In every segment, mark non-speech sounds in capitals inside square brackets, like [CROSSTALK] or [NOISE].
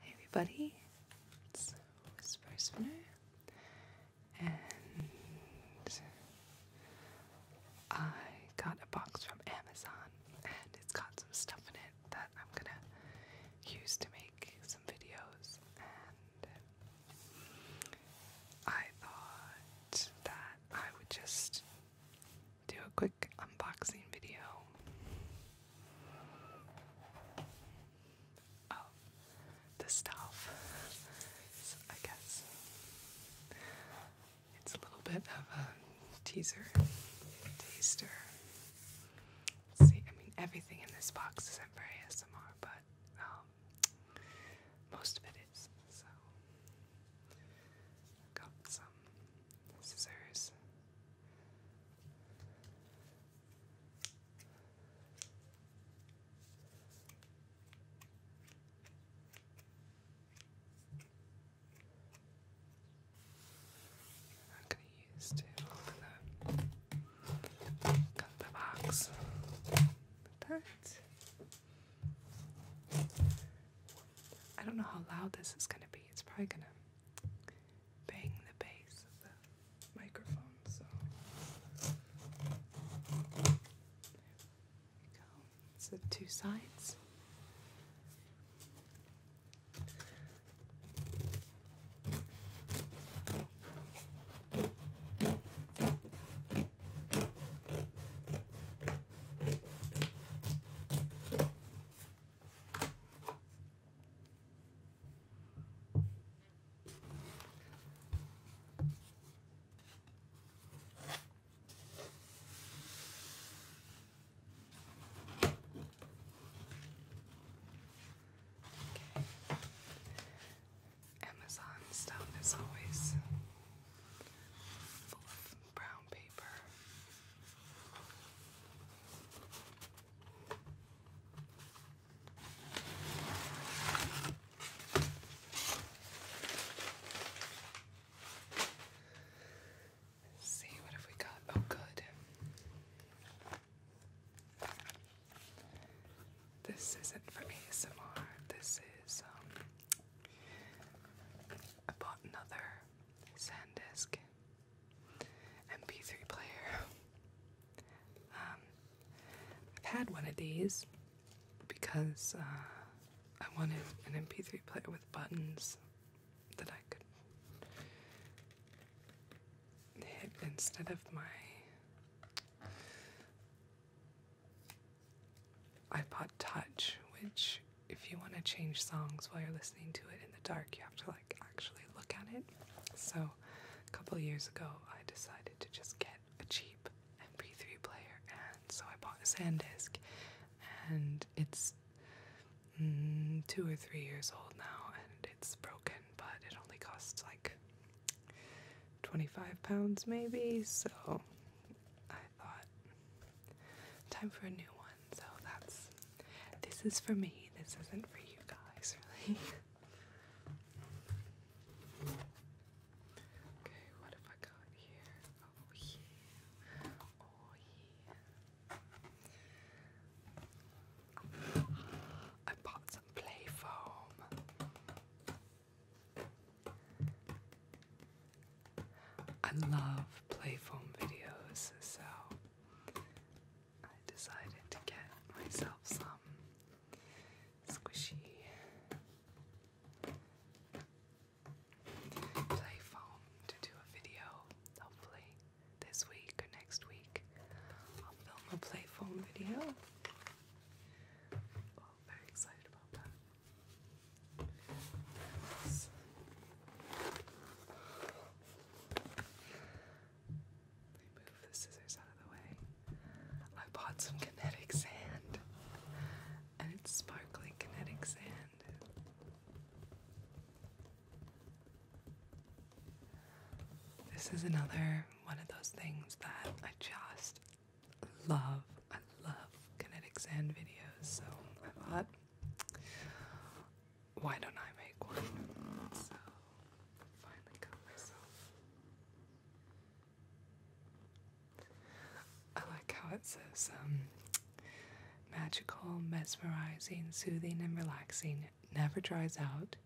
Hey everybody, it's Whisper Spinner, and I got a box from Amazon, and it's got some stuff in it that I'm gonna use to make some videos, and I thought that I would just do a quick unboxing video of oh, the stuff. I guess it's a little bit of a teaser, taster. See, I mean, everything in this box isn't very ASMR, but um, most of it is. So, got some scissors. I'm going to use to open the, box like I don't know how loud this is going to be. It's probably going to bang the base of the microphone, so go. So two sides. Amazon stuff is always full of brown paper see what have we got? Oh, good. This isn't for ASMR. This is um. I bought another SanDisk MP3 player. Um, I've had one of these because uh, I wanted an MP3 player with buttons that I could hit instead of my iPod Touch, which if you want to change songs while you're listening to it in the dark, you have to like actually look at it. So a couple years ago, I decided to just get a cheap MP3 player, and so I bought a SanDisk, and it's mm, two or three years old now, and it's broken, but it only costs like 25 pounds maybe, so thought time for a new one. So that's this is for me. This isn't for you guys, [LAUGHS] really. okay, what have I got here? Oh yeah. Oh yeah. I bought some play foam. I love play foam videos, so I decided to get myself some squishy play foam to do a video. Hopefully, this week or next week, I'll film a play foam video. very excited about that. Let me move the scissors out of the way. I bought some kinetic sand, and it's sparkling kinetic sand. This is another one of those things that I just love. I love kinetic sand videos, so I bought why don't I make one? So finally got myself. I like how it says um, magical, mesmerizing, soothing, and relaxing. Never dries out.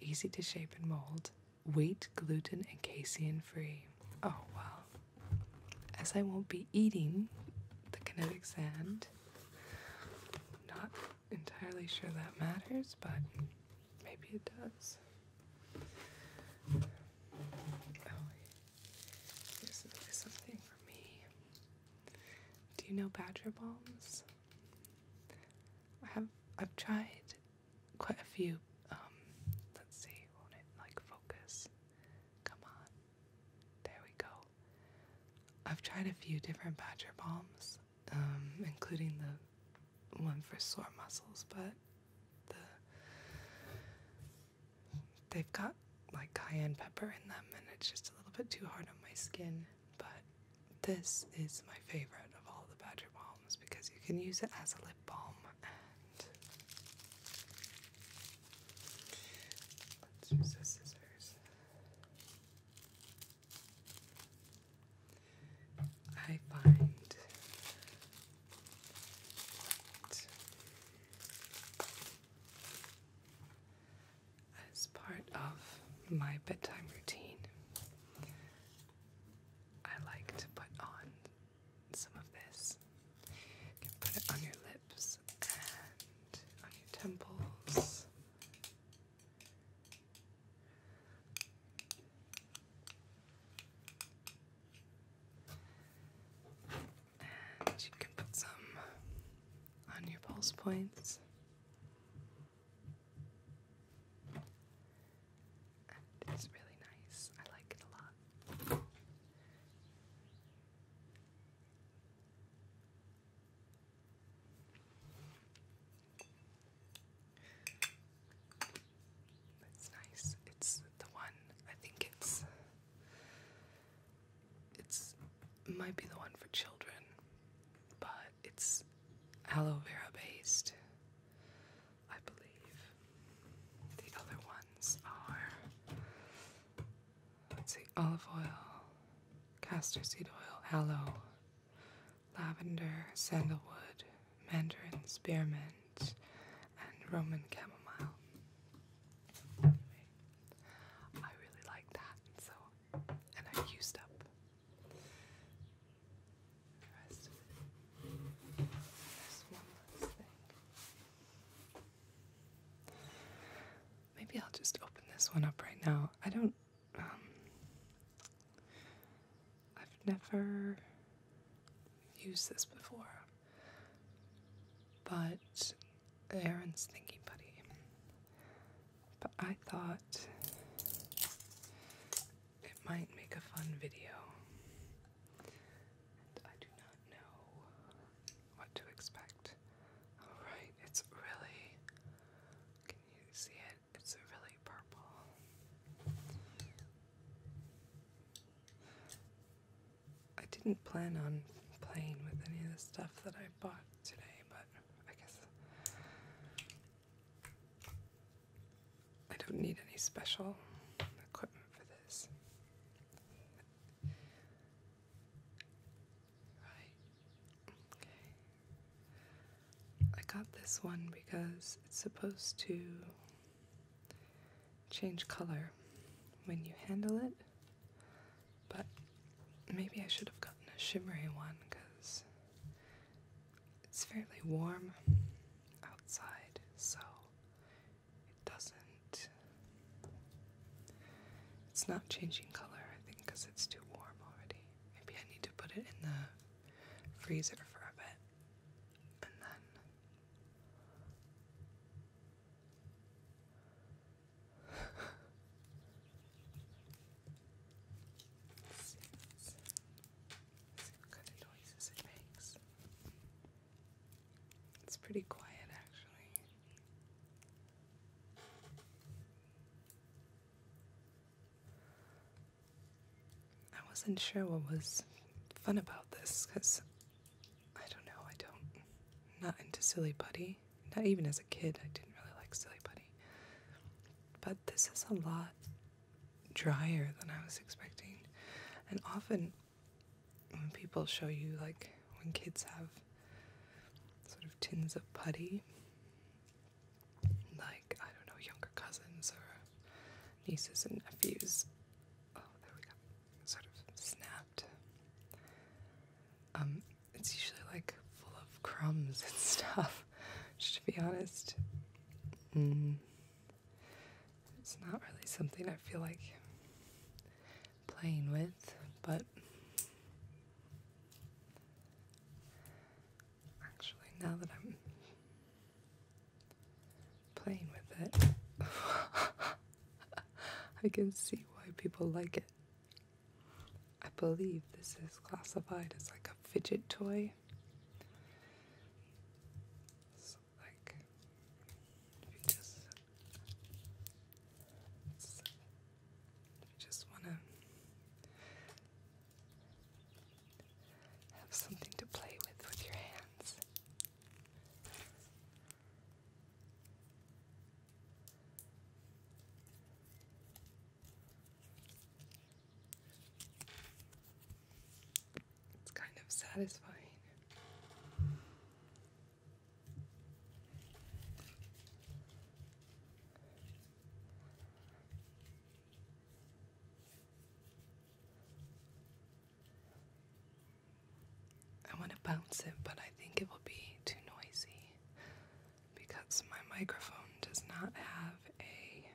Easy to shape and mold. Wheat, gluten, and casein free. Oh, wow as I won't be eating the kinetic sand, not entirely sure that matters, but maybe it does. Oh, here's something for me. Do you know badger bombs? I have I've tried quite a few. Um, let's see, like focus? Come on. There we go. I've tried a few different badger balms, um, including the one for sore muscles, but they've got like cayenne pepper in them, and it's just a little bit too hard on my skin. But this is my favorite of all the badger balms because you can use it as a lip balm, let's use the scissors. I find as part of my bedtime routine, I like to put on some of this. You can put it on your lips and on your temples. And you can put some on your pulse points. it's really nice. I like it a lot. It's nice. It's the one. I think it's. It's might be the one for children, but it's aloe vera based, I believe. The other ones are let's see, olive oil, castor seed oil, aloe, lavender, sandalwood, mandarin, spearmint, and Roman chamomile. I really like that, so and I used up the rest of it. There's one last thing. Maybe I'll just open this one up right now. I don't. Um, I've never used this before, but Aaron's thinking buddy. But I thought it might make a fun video. I do not know what to expect. Alright, it's really. Can you see it? It's really purple. I didn't plan on playing with any of the stuff that I bought today, but I guess I don't need any special equipment for this. I got this one because it's supposed to change color when you handle it, but maybe I should have gotten a shimmery one because it's fairly warm outside, so it doesn't. It's not changing color, I think, because it's too warm already. Maybe I need to put it in the freezer for a bit and then. [LAUGHS] what kind of noises it makes. It's pretty quiet actually. I wasn't sure what was fun about this because I don't know, I don't. not into Silly Putty. Not even as a kid, I didn't really like Silly Putty. But this is a lot drier than I was expecting. And often when people show you, like when kids have sort of tins of putty, like, I don't know, younger cousins or nieces and nephews. Oh, there we go. Sort of snapped. Um, it's usually like full of crumbs and [LAUGHS] stuff, just to be honest. Mm. It's not really something I feel like playing with, but actually, now that I'm playing with it, [LAUGHS] I can see why people like it. I believe this is classified as like a fidget toy like you just you just wanna have something to play with with your hands. It's kind of satisfying. I want to bounce it, but I think it will be too noisy because my microphone does not have a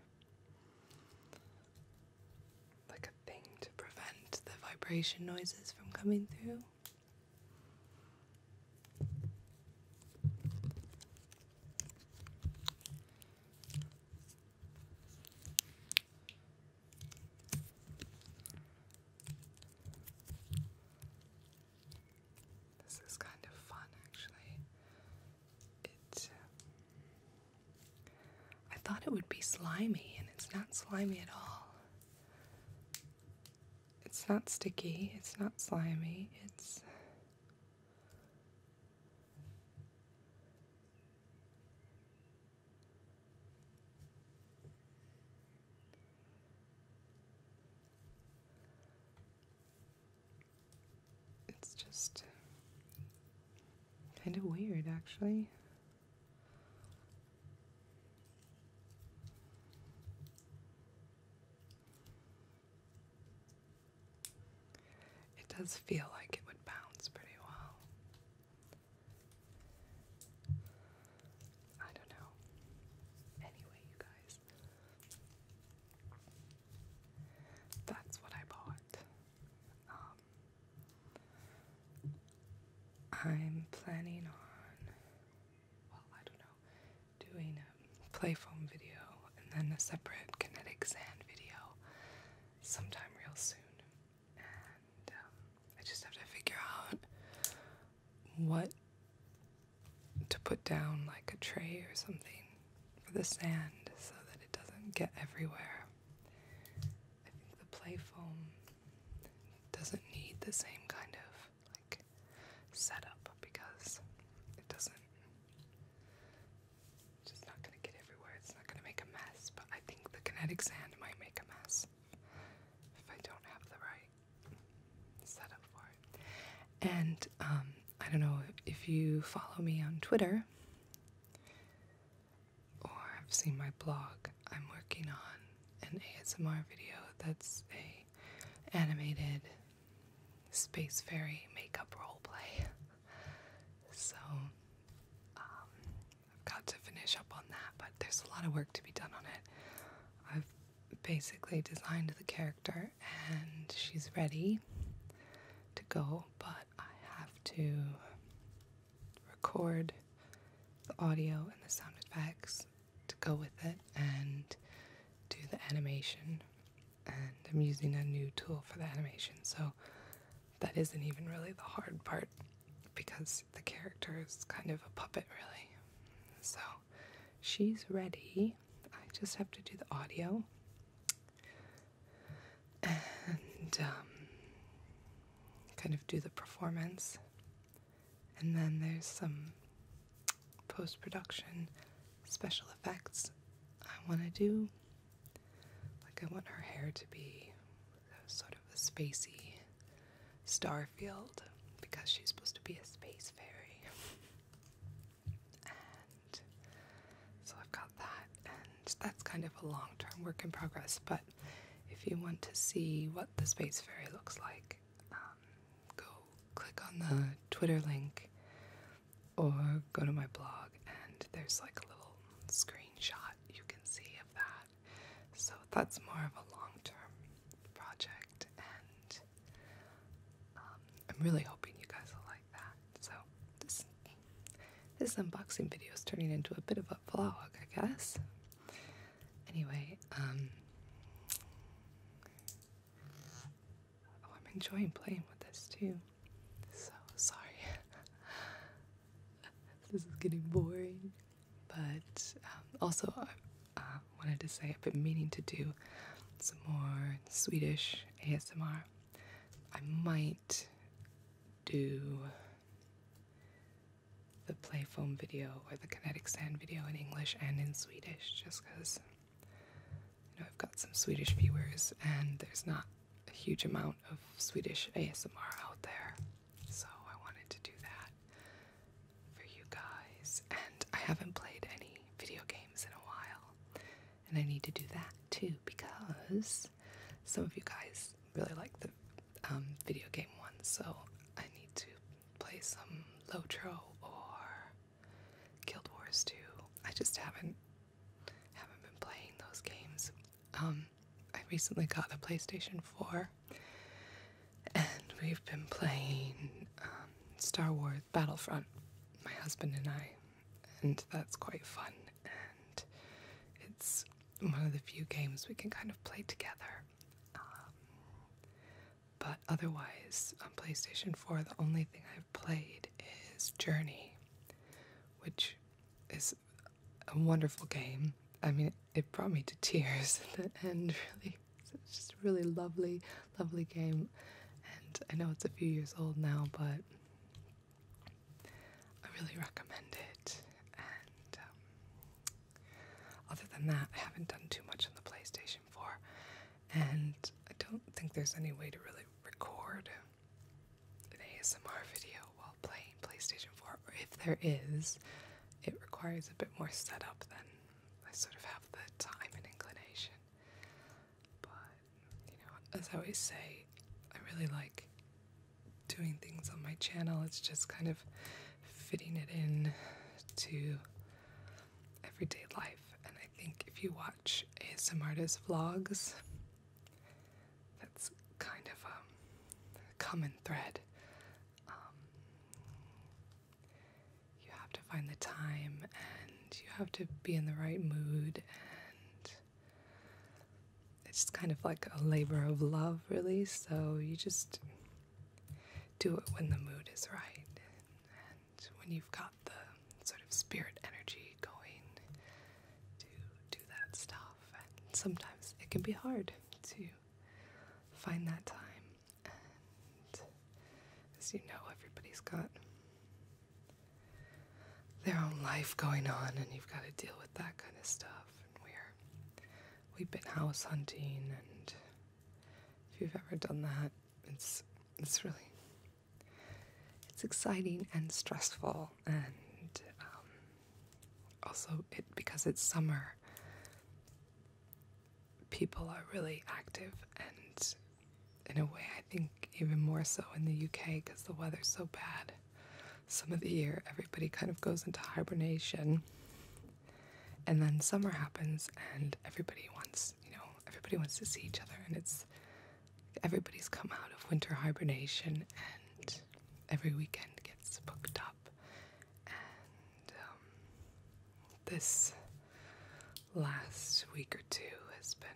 like a thing to prevent the vibration noises from coming through. This is kind of fun actually. It I thought it would be slimy, and it's not slimy at all. It's not sticky, it's not slimy, it's. It's just Kind of weird, actually. It does feel like it would bounce pretty well. I don't know. Anyway, you guys, that's what I bought. Um, I'm planning on, well, I don't know, doing a play foam video and then a separate kinetic sand video sometime real soon. And um, I just have to figure out what to put down, like a tray or something for the sand so that it doesn't get everywhere. I think the play foam doesn't need the same kind of like setup because it doesn't it's just not gonna get everywhere. It's not gonna make a mess, but I think the kinetic sand might make a mess if I don't have the right setup for it. And um, I don't know if you follow me on Twitter or have seen my blog, I'm working on an ASMR video that's a animated space fairy makeup role play. So um, I've got to finish up on that, but there's a lot of work to be done on it. I've basically designed the character and she's ready to go but I have to record the audio and the sound effects to go with it and do the animation. And I'm using a new tool for the animation, so that isn't even really the hard part because the character is kind of a puppet, really. So she's ready. I just have to do the audio and um, kind of do the performance. And then there's some post production special effects I want to do. Like, I want her hair to be sort of a spacey starfield because she's supposed to be a space fairy. [LAUGHS] And so I've got that, and that's kind of a long term work in progress. But if you want to see what the Space Fairy looks like, um, go click on the Twitter link or go to my blog, and there's like a little screenshot you can see of that. So that's more of a long term project, and um, I'm really hoping you guys will like that. So, this this unboxing video is turning into a bit of a vlog, I guess. Anyway, um, Oh, I'm enjoying playing with this too. So sorry. [LAUGHS] this is getting boring. But um, also, I uh, wanted to say I've been meaning to do some more Swedish ASMR. I might do the play foam video or the kinetic sand video in English and in Swedish just because you know I've got some Swedish viewers and there's not a huge amount of Swedish ASMR out there. So I wanted to do that for you guys. And I haven't played any video games in a while. And I need to do that too because some of you guys really like the um, video game ones, so I need to play some Lotro or Guild Wars 2. I just haven't haven't been playing those games. Um, I recently got a PlayStation 4, and we've been playing um, Star Wars Battlefront. My husband and I and that's quite fun. And it's one of the few games we can kind of play together. Um, but otherwise, on PlayStation 4, the only thing I've played is Journey, which is a wonderful game. I mean, it brought me to tears at [LAUGHS] the end, really. It's just a really lovely, lovely game. And I know it's a few years old now, but I really recommend it. And um, other than that, I haven't done too much on the PlayStation 4, and I don't think there's any way to really record an ASMR video while playing PlayStation 4. Or if there is, it requires a bit more setup than I sort of have the time and inclination. But you know, as I always say, I really like doing things on my channel. It's just kind of fitting it in to everyday life. And I think if you watch ASM vlogs, that's kind of a common thread. Um, you have to find the time and you have to be in the right mood and it's kind of like a labor of love really so you just do it when the mood is right and when you've got the sort of spirit energy going to do that stuff and sometimes it can be hard to find that time and as you know everybody's got their own life going on, and you've got to deal with that kind of stuff. And we're we've been house hunting, and if you've ever done that, it's it's really it's exciting and stressful, and um, also it because it's summer. People are really active and in a way, I think even more so in the UK because the weather's so bad. Some of the year, everybody kind of goes into hibernation, and then summer happens, and everybody wants, you know, everybody wants to see each other, and it's everybody's come out of winter hibernation, and every weekend gets booked up, and um, this last week or two has been.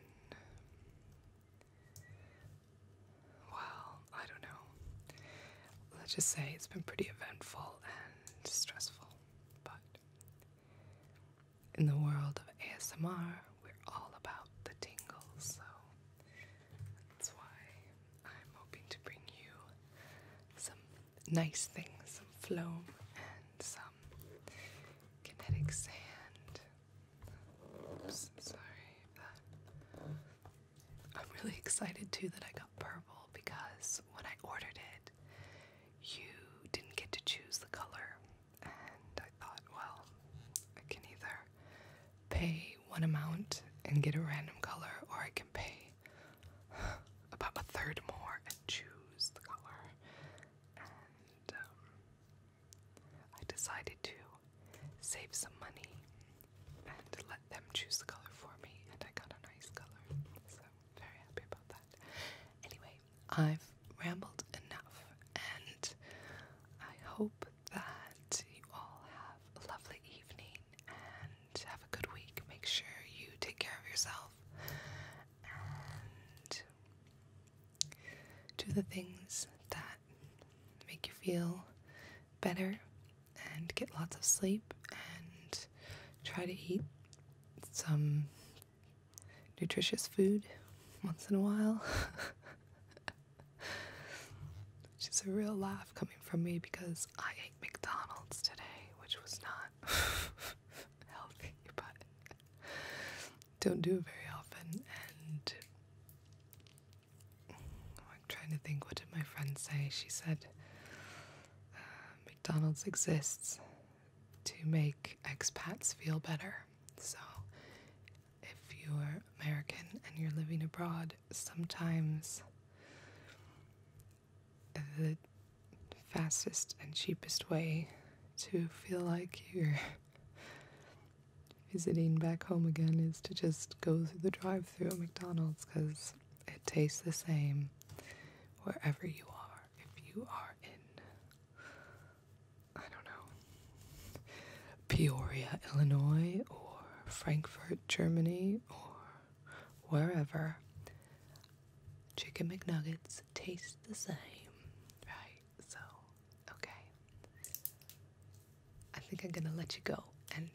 Well, I don't know. Let's just say it's been pretty eventful and stressful. But in the world of ASMR, we're all about the tingles, so that's why I'm hoping to bring you some nice things, some phloem, and some kinetic um, sand. sorry. I'm really excited too that I got purple because when I ordered it, you didn't get to choose the color. And I thought, well, I can either pay one amount and get a random color, or I can pay about a third more and choose the color. Um, I decided to save some money and let them choose the color for me, and I got a nice color, so very happy about that. Anyway, I've rambled enough, and I hope that you all have a lovely evening and have a good week. Make sure you take care of yourself, and do the things that make you feel better and get lots of sleep and try to eat some nutritious food once in a while. [LAUGHS] which is a real laugh coming from me because I ate McDonald's today, which was not [LAUGHS] healthy, but don't do it very often. And I'm trying to think, what did my friend say? She said uh, McDonald's exists to make expats feel better. So if you're American and you're living abroad, sometimes the fastest and cheapest way to feel like you're visiting back home again is to just go through the drive through at McDonald's because it tastes the same wherever you are. If you are in, I don't know, Peoria, Illinois, or Frankfurt, Germany, or wherever, Chicken McNuggets taste the same, right? So, okay. I think I'm gonna let you go. And,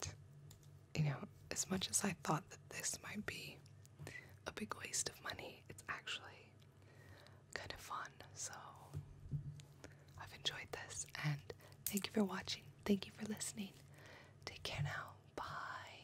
you know, as much as I thought that this might be a big waste of money, it's actually kind of fun. So, I've enjoyed this. And thank you for watching. Thank you for listening. Take care now. Bye.